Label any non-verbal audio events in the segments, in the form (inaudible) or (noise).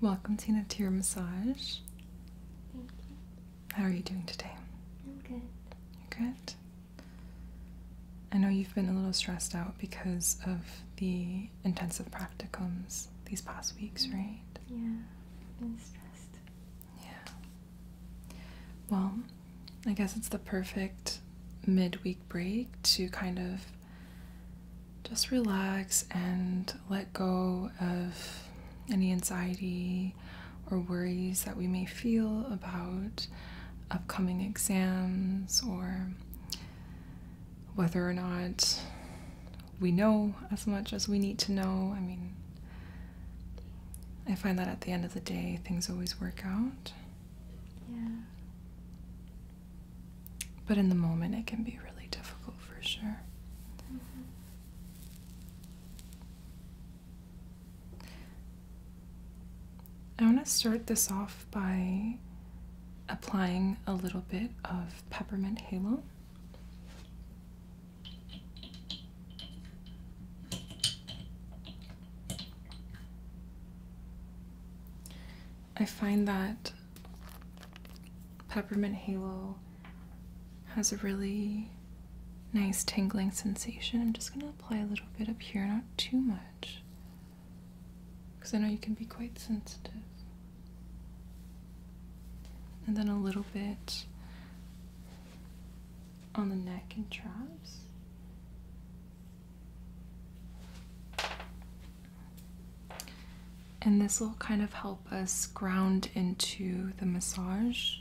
Welcome, Tina, to your massage. Thank you. How are you doing today? I'm good. You're good? I know you've been a little stressed out because of the intensive practicums these past weeks, mm-hmm. right? Yeah, I've been stressed yeah. Well, I guess it's the perfect midweek break to kind of just relax and let go of any anxiety or worries that we may feel about upcoming exams or whether or not we know as much as we need to know. I mean, I find that at the end of the day, things always work out. Yeah. But in the moment, it can be really difficult for sure. Mm-hmm. I want to start this off by applying a little bit of peppermint halo. I find that peppermint halo has a really nice tingling sensation. I'm just going to apply a little bit up here, not too much, because I know you can be quite sensitive and then a little bit on the neck and traps. And this will kind of help us ground into the massage.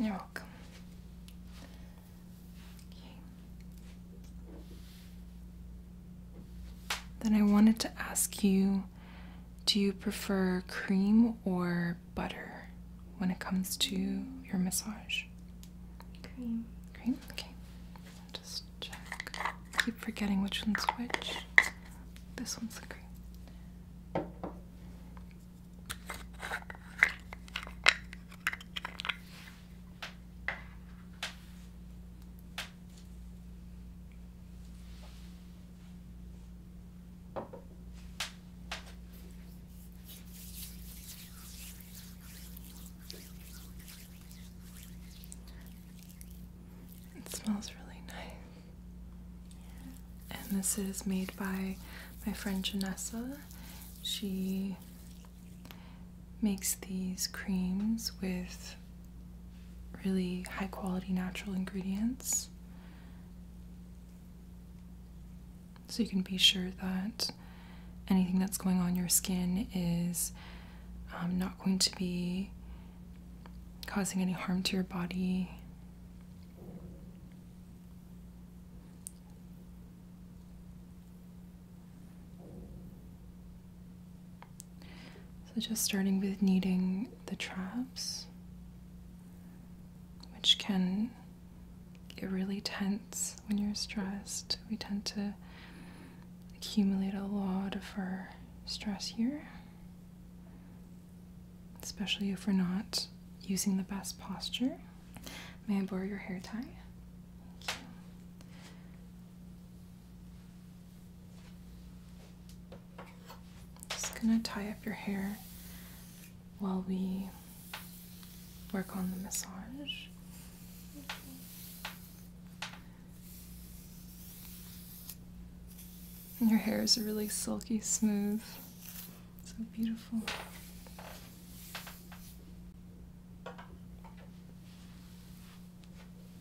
you. are welcome. Then I wanted to ask you do you prefer cream or butter when it comes to your massage? Cream. Cream? Okay. Just check. Keep forgetting which one's which. This one's the cream. It smells really nice. And this is made by my friend Janessa. She makes these creams with really high quality natural ingredients. So you can be sure that anything that's going on your skin is um, not going to be causing any harm to your body. So just starting with kneading the traps, which can get really tense when you're stressed. We tend to accumulate a lot of our stress here, especially if we're not using the best posture. May I borrow your hair tie? Just gonna tie up your hair while we work on the massage. your hair is really silky smooth. So beautiful.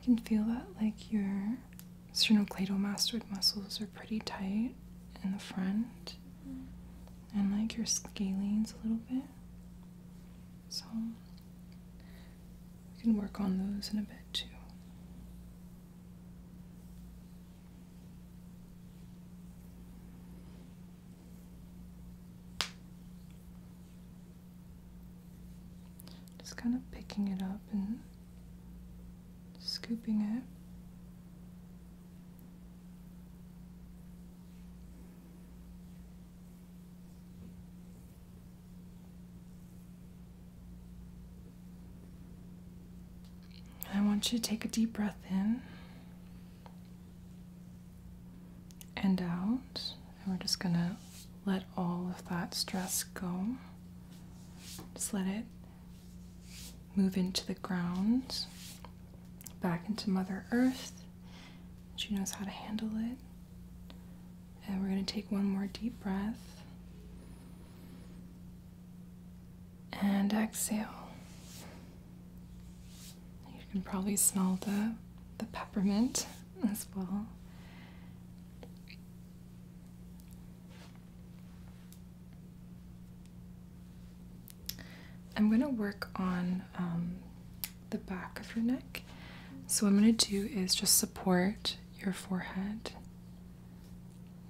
I can feel that like your sternocleidomastoid muscles are pretty tight in the front and like your scalenes a little bit. So we can work on those in a bit too. Just kind of picking it up and scooping it. I want you to take a deep breath in and out. And we're just gonna let all of that stress go. Just let it move into the ground, back into Mother Earth. She knows how to handle it. And we're gonna take one more deep breath. And exhale. You can probably smell the, the peppermint as well. I'm going to work on um, the back of your neck. So, what I'm going to do is just support your forehead.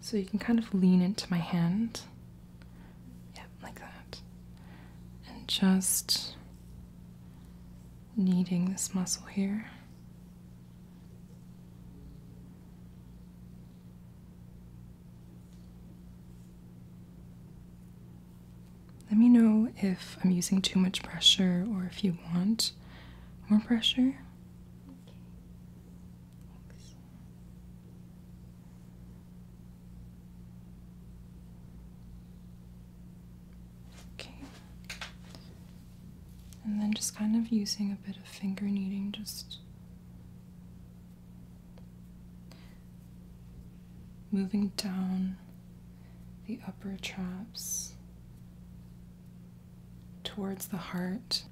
So, you can kind of lean into my hand. Yep, like that. And just kneading this muscle here. Let me know if I'm using too much pressure or if you want more pressure. Okay. And then just kind of using a bit of finger kneading, just moving down the upper traps towards the heart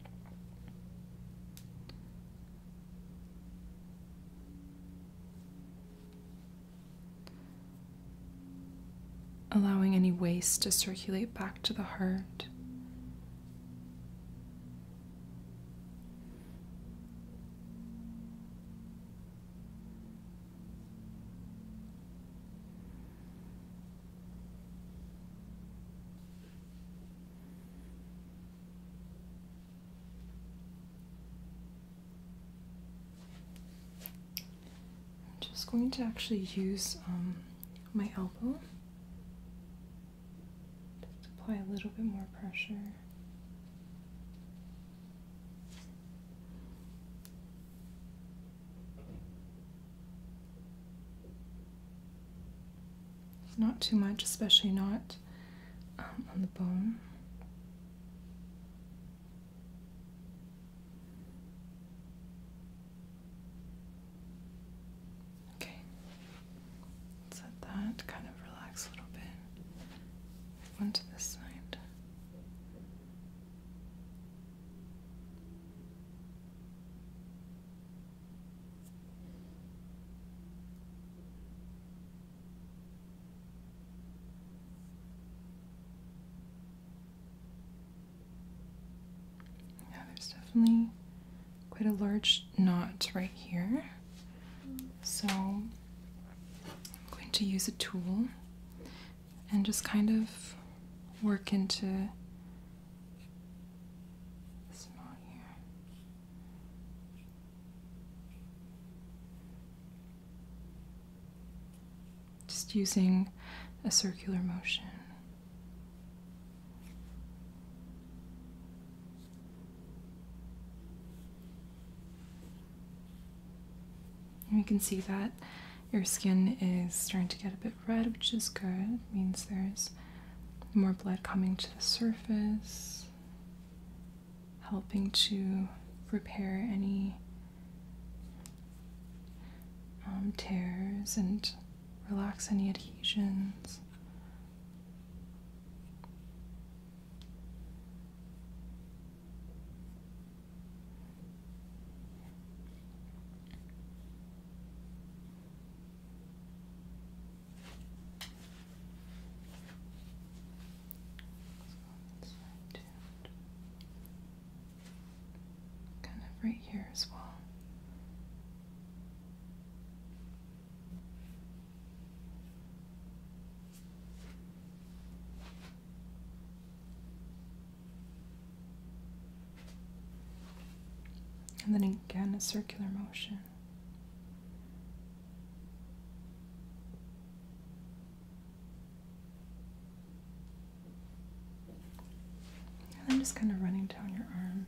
allowing any waste to circulate back to the heart. I'm just going to actually use um, my elbow. Just apply a little bit more pressure. Not too much, especially not um, on the bone. Okay. Let's let kind of relax a little bit. Move on this side. Yeah, there's definitely quite a large knot right here. So I'm going to use a tool and just kind of work into this knot here. Just using a circular motion. you can see that your skin is starting to get a bit red, which is good. means there's more blood coming to the surface helping to repair any um, tears and relax any adhesions. Kind of right here as well. And then again, a circular motion. And I'm just kind of running down your arm.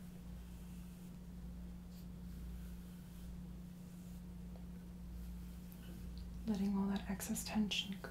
Letting all that excess tension go.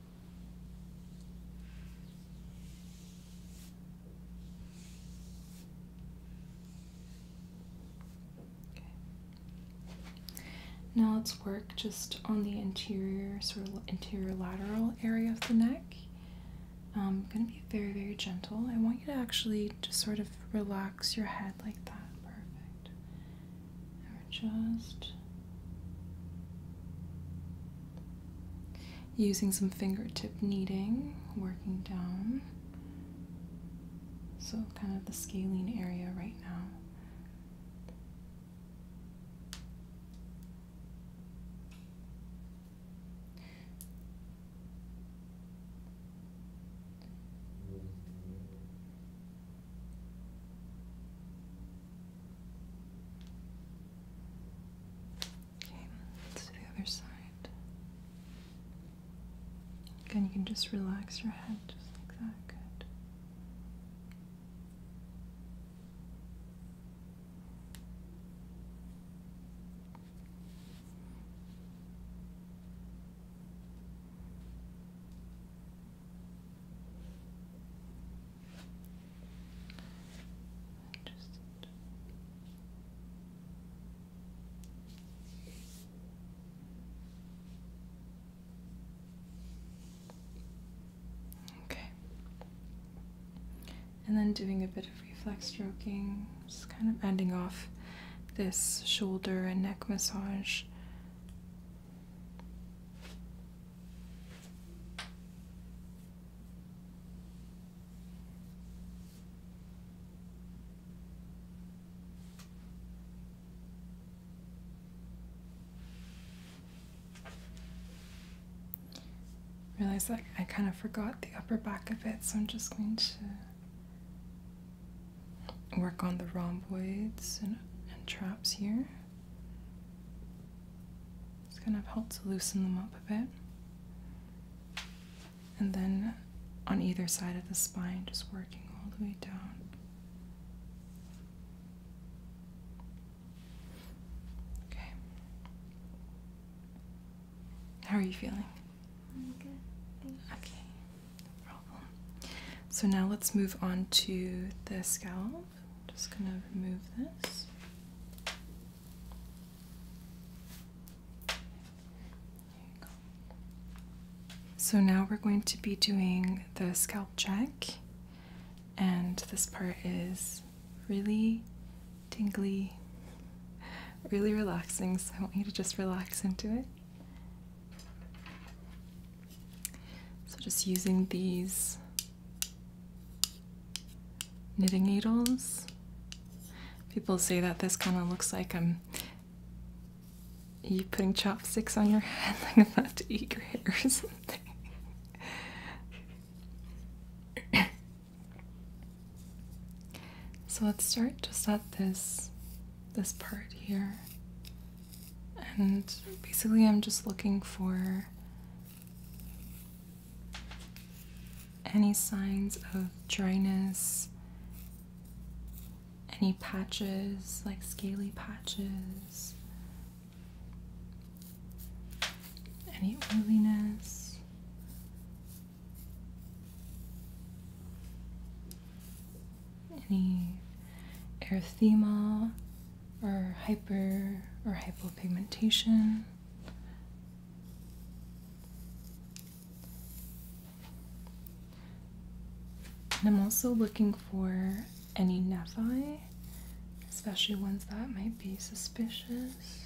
Now let's work just on the interior, sort of interior lateral area of the neck. Um, I'm going to be very, very gentle. I want you to actually just sort of relax your head like that. Perfect or just using some fingertip kneading, working down. So, kind of the scaling area right now. Okay, let's do the other side. Again, you can just relax your head just like that. Good. Okay. And then doing a bit of reflex stroking, just kind of ending off this shoulder and neck massage Realize that I kind of forgot the upper back a bit, so I'm just going to work on the rhomboids and traps here. It's gonna help to loosen them up a bit. And then on either side of the spine, just working all the way down. Okay. How are you feeling? I'm good. Okay, no problem. So now let's move on to the scalp. Just gonna remove this. So now we're going to be doing the scalp check, and this part is really tingly, really relaxing. So I want you to just relax into it. So, just using these knitting needles. People say that this kind of looks like I'm um, you putting chopsticks on your (laughs) head like I'm about to eat your hair or something. so let's start just at this this part here. And basically I'm just looking for any signs of dryness? Any patches, like scaly patches? Any oiliness? Any erythema? or hyper or hypopigmentation. I'm also looking for any nevi, especially ones that might be suspicious.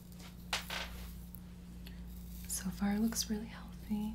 So far, it looks really healthy.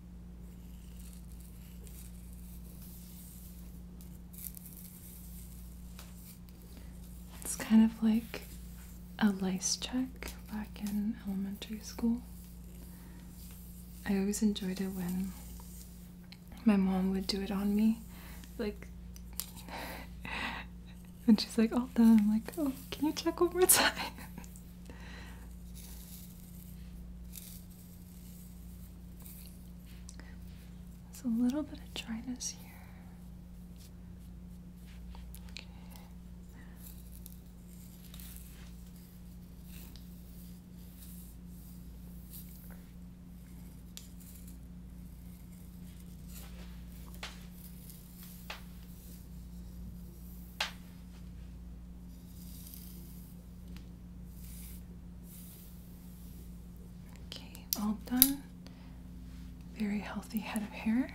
It's kind of like a lice check back in elementary school. I always enjoyed it when my mom would do it on me. Like, (laughs) and she's like, all done. I'm like, oh, can you check one more (laughs) time? There's a little bit of dryness here. Okay. Okay, all done. Very healthy head of hair.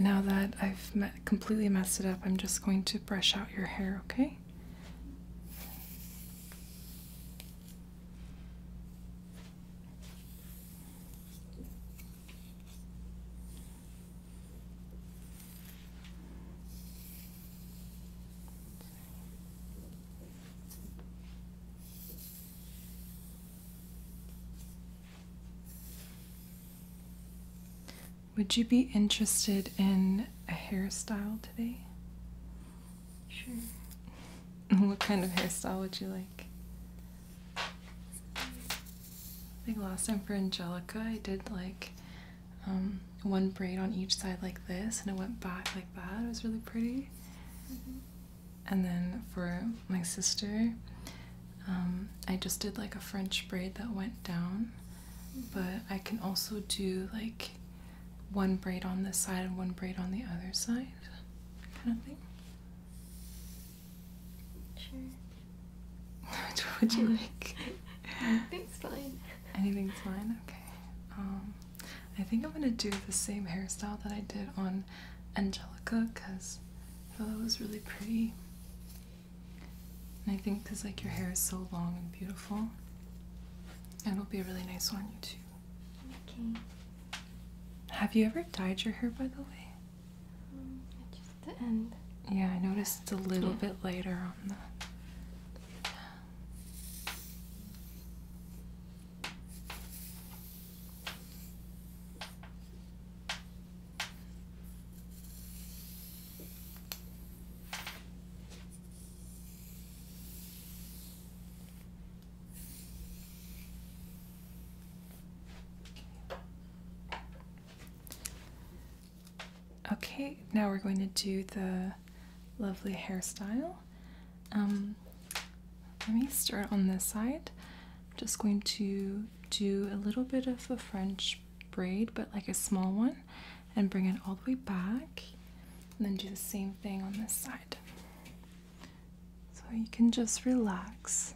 Now that I've completely messed it up, I'm just going to brush out your hair, okay? Would you be interested in a hairstyle today? Sure. (laughs) What kind of hairstyle would you like? I think last time for Angelica, I did like um, one braid on each side like this, and it went back like that. It was really pretty. Mm-hmm. And then for my sister, um, I just did like a French braid that went down. Mm-hmm. But I can also do like one braid on this side and one braid on the other side, kind of thing. Sure. Which (laughs) would you um, like? Anything's fine. Anything's fine? Okay. Um, I think I'm gonna do the same hairstyle that I did on Angelica because I thought it was really pretty. And I think because like your hair is so long and beautiful, it'll be a really nice one you too. Okay. Have you ever dyed your hair by the way? Yeah, I noticed a little bit later on the. Okay, now we're going to do the lovely hairstyle. Um, let me start on this side. I'm just going to do a little bit of a French braid, but like a small one, and bring it all the way back. And then do the same thing on this side. So you can just relax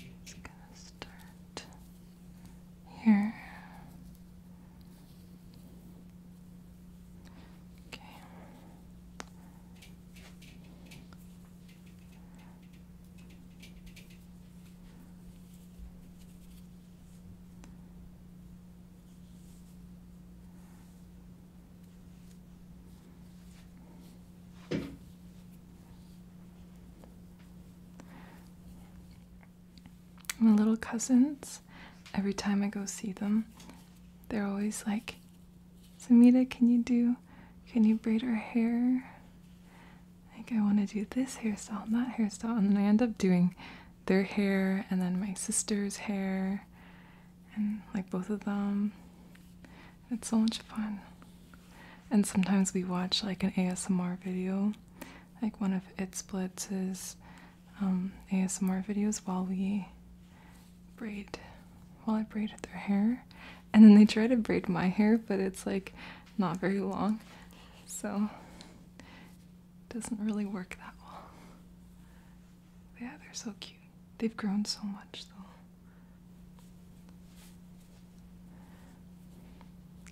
it's gonna start here. Okay. My little cousins, every time I go see them, they're always like, Samita, can you do, can you braid her hair? Like, I want to do this hairstyle and that hairstyle. And then I end up doing their hair and then my sister's hair and like both of them. It's so much fun. And sometimes we watch like an ASMR video, like one of It Splits' um, ASMR videos while we braid, while I braid their hair. And then they try to braid my hair, but it's like not very long. So it doesn't really work that well. Yeah, they're so cute. They've grown so much though.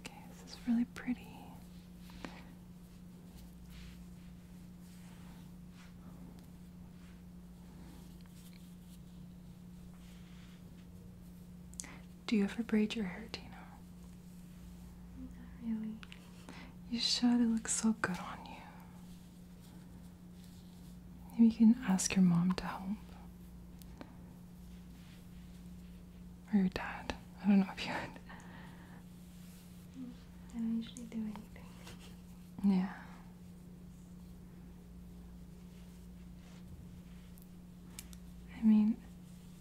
Okay, this is really pretty. Do you ever braid your hair, Tina? Not really. You should. It looks so good on you. Maybe you can ask your mom to help. Or your dad. I don't know if you would. I don't usually do anything. Yeah. I mean,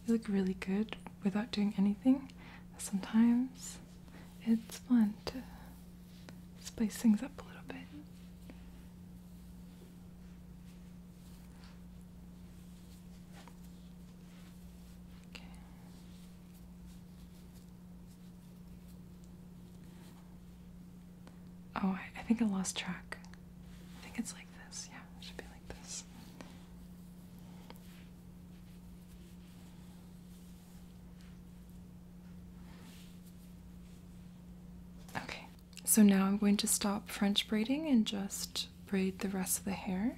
you look really good without doing anything. Sometimes it's fun to spice things up a little bit. Okay. Oh, I, think I lost track. I think it's like this. Yeah, should be like this. Okay, so now I'm going to stop French braiding and just braid the rest of the hair.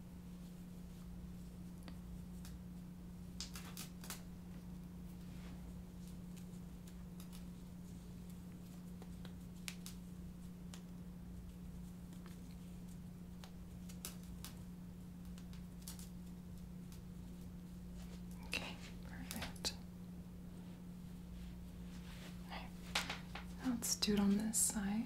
Okay, perfect. All right. Now let's do it on this side.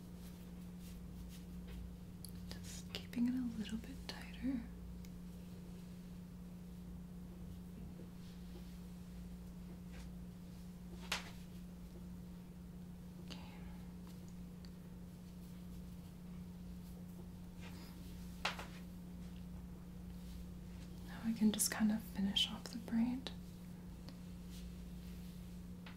Just keeping it a little bit tighter. Okay. Now I can just kind of finish off the braid.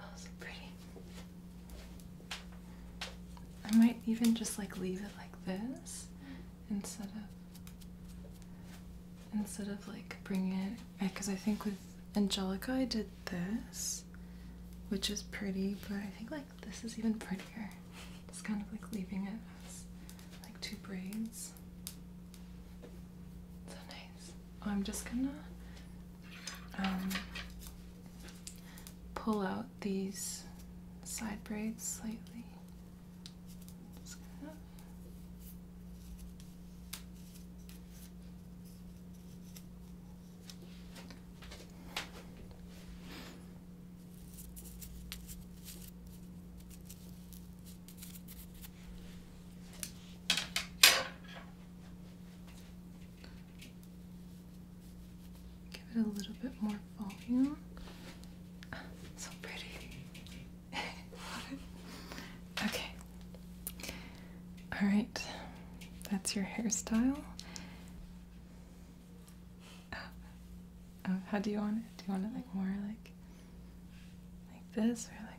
Oh, pretty. I might even just like leave it like this instead of instead of like bringing it because I think with Angelica I did this which is pretty but I think like this is even prettier just kind of like leaving it as like two braids so nice oh, I'm just gonna um pull out these side braids slightly. Give it a little bit more volume. so pretty. (laughs) okay. All right. That's your hairstyle. Uh, uh, how do you want it? Do you want it like more like like this or like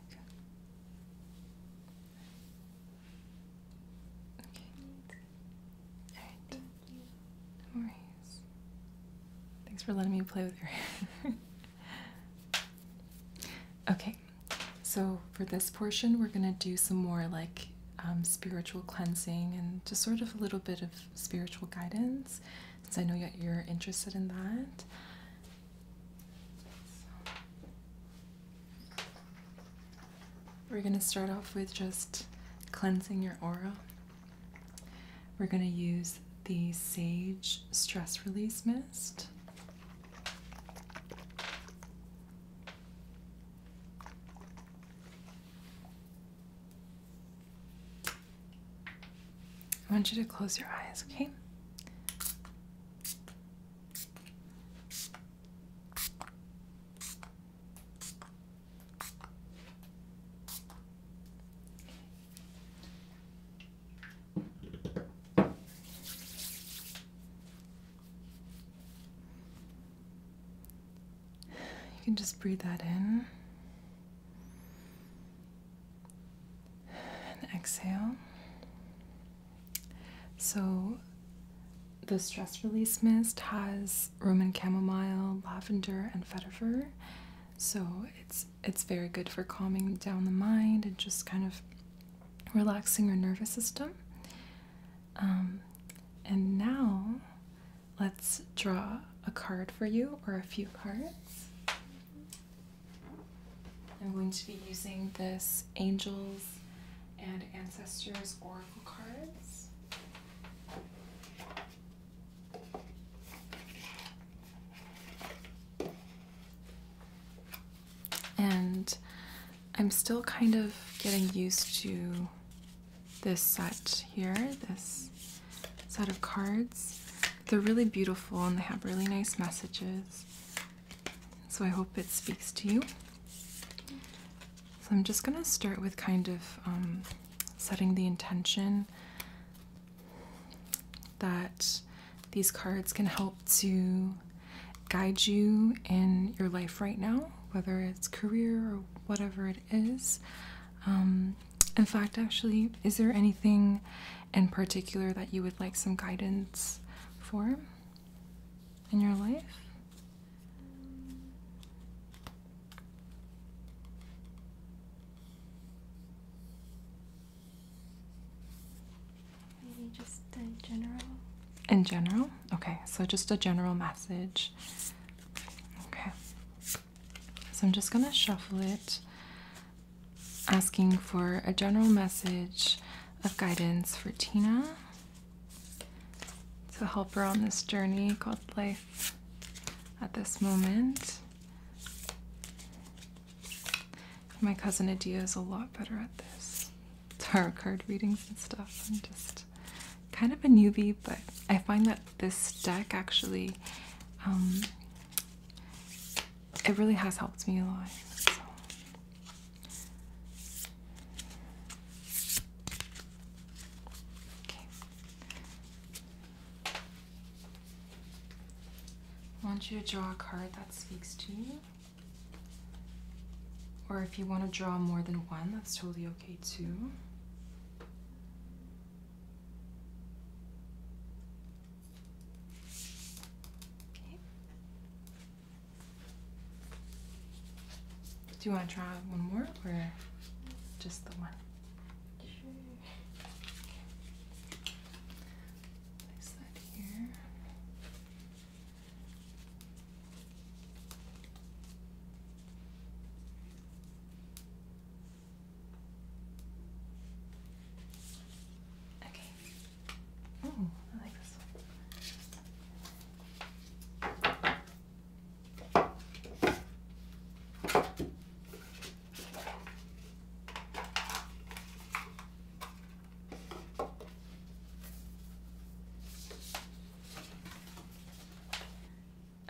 Okay. Alright. No worries. Thanks for letting me play with your hair. (laughs) okay. So for this portion, we're gonna do some more like um, spiritual cleansing and just sort of a little bit of spiritual guidance, since I know that you're interested in that. We're going to start off with just cleansing your aura. We're going to use the Sage Stress Release Mist. I want you to close your eyes, okay? You can just breathe that in and exhale. So, the stress release mist has Roman chamomile, lavender, and vetiver, so it's it's very good for calming down the mind and just kind of relaxing your nervous system. Um, and now, let's draw a card for you or a few cards. I'm going to be using this angels and ancestors or cards. And I'm still kind of getting used to this set here, this set of cards. They're really beautiful and they have really nice messages. So I hope it speaks to you. So I'm just going to start with kind of um, setting the intention that these cards can help to guide you in your life right now, whether it's career or whatever it is. Um, in fact, actually, is there anything in particular that you would like some guidance for in your life? Maybe just in general. In general? Okay, so just a general message. Okay. So I'm just going to shuffle it, asking for a general message of guidance for Tina to help her on this journey called life at this moment. My cousin Adia is a lot better at this tarot card readings and stuff. I'm just kind of a newbie, but I find that this deck actually, um, it really has helped me a lot. Okay. I want you to draw a card that speaks to you. Or if you want to draw more than one, that's totally okay too. Okay. Do you want to try one more or just the one? Place that here. Okay. Oh, I like this one.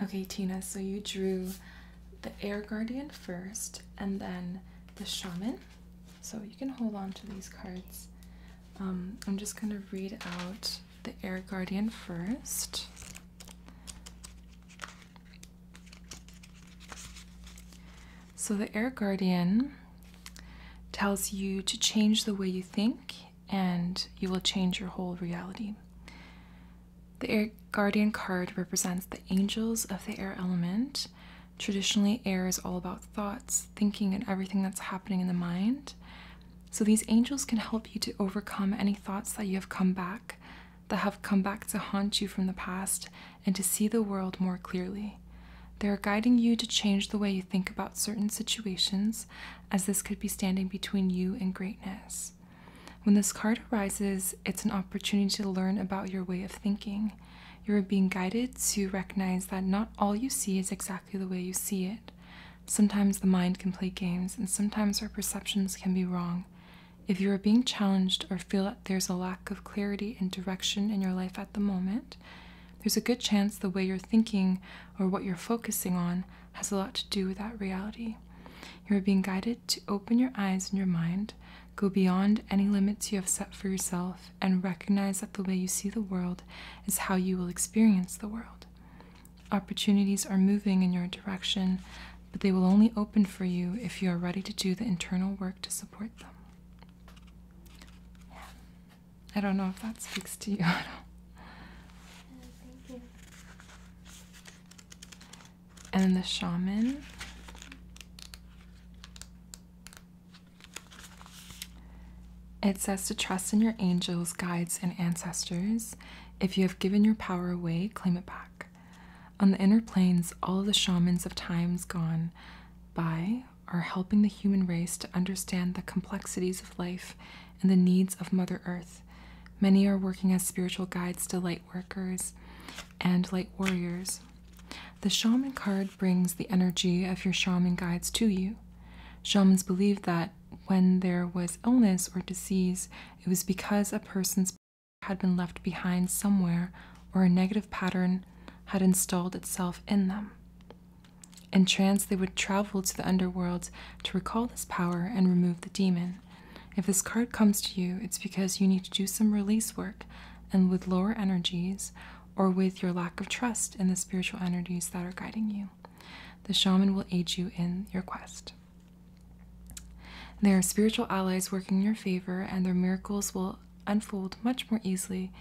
Okay, Tina, so you drew the Air Guardian first and then the Shaman. So you can hold on to these cards. Um, I'm just going to read out the Air Guardian first. So, the Air Guardian tells you to change the way you think, and you will change your whole reality. The Air Guardian card represents the angels of the air element. Traditionally, air is all about thoughts, thinking, and everything that's happening in the mind. So these angels can help you to overcome any thoughts that you have come back that have come back to haunt you from the past and to see the world more clearly. They are guiding you to change the way you think about certain situations, as this could be standing between you and greatness. When this card arises, it's an opportunity to learn about your way of thinking. You are being guided to recognize that not all you see is exactly the way you see it. Sometimes the mind can play games, and sometimes our perceptions can be wrong. If you are being challenged or feel that there's a lack of clarity and direction in your life at the moment, there's a good chance the way you're thinking or what you're focusing on has a lot to do with that reality. You are being guided to open your eyes and your mind, go beyond any limits you have set for yourself, and recognize that the way you see the world is how you will experience the world. Opportunities are moving in your direction, but they will only open for you if you are ready to do the internal work to support them. Yeah. I don't know if that speaks to you (laughs) at all. Yeah, thank And the shaman. It says to trust in your angels, guides, and ancestors. If you have given your power away, claim it back. On the inner planes, all the shamans of times gone by are helping the human race to understand the complexities of life and the needs of Mother Earth. Many are working as spiritual guides to light workers and light warriors. The shaman card brings the energy of your shaman guides to you. Shamans believe that when there was illness or disease, it was because a person's power had been left behind somewhere or a negative pattern had installed itself in them. In trance, they would travel to the underworld to recall this power and remove the demon. If this card comes to you, it's because you need to do some release work and with lower energies or with your lack of trust in the spiritual energies that are guiding you. The shaman will aid you in your quest. They are spiritual allies working in your favor, and their miracles will unfold much more easily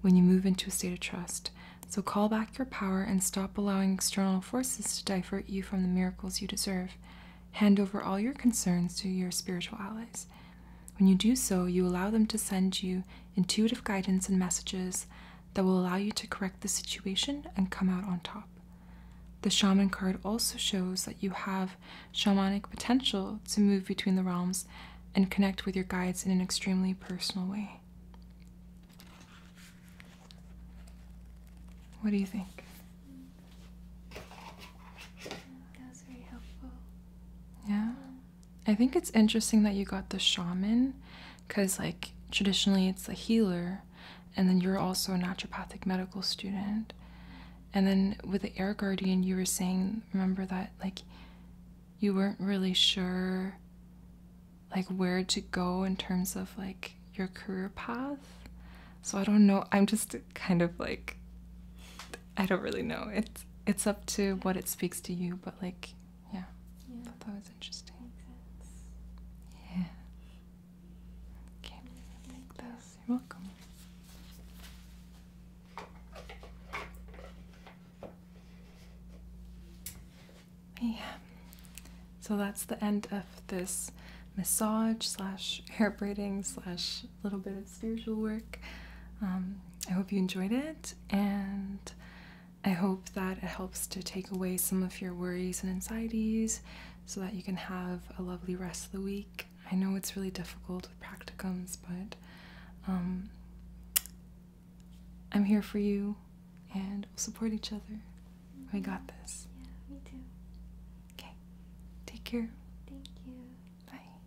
when you move into a state of trust. So call back your power and stop allowing external forces to divert you from the miracles you deserve. Hand over all your concerns to your spiritual allies. When you do so, you allow them to send you intuitive guidance and messages that will allow you to correct the situation and come out on top. The shaman card also shows that you have shamanic potential to move between the realms and connect with your guides in an extremely personal way. What do you think? That was very helpful. Yeah. I think it's interesting that you got the shaman because like traditionally it's a healer and then you're also a naturopathic medical student and then with the air guardian you were saying remember that like you weren't really sure like where to go in terms of like your career path so i don't know i'm just kind of like i don't really know it's it's up to what it speaks to you but like yeah. I thought that was interesting. Yeah. Okay. You. are welcome. Yeah. So that's the end of this massage slash hair braiding slash little bit of spiritual work. Um, I hope you enjoyed it and I hope that it helps to take away some of your worries and anxieties so that you can have a lovely rest of the week. I know it's really difficult with practicums, but um, I'm here for you and we'll support each other. We got mm-hmm. this. Yeah, me too. Okay, take care. Thank you. Bye.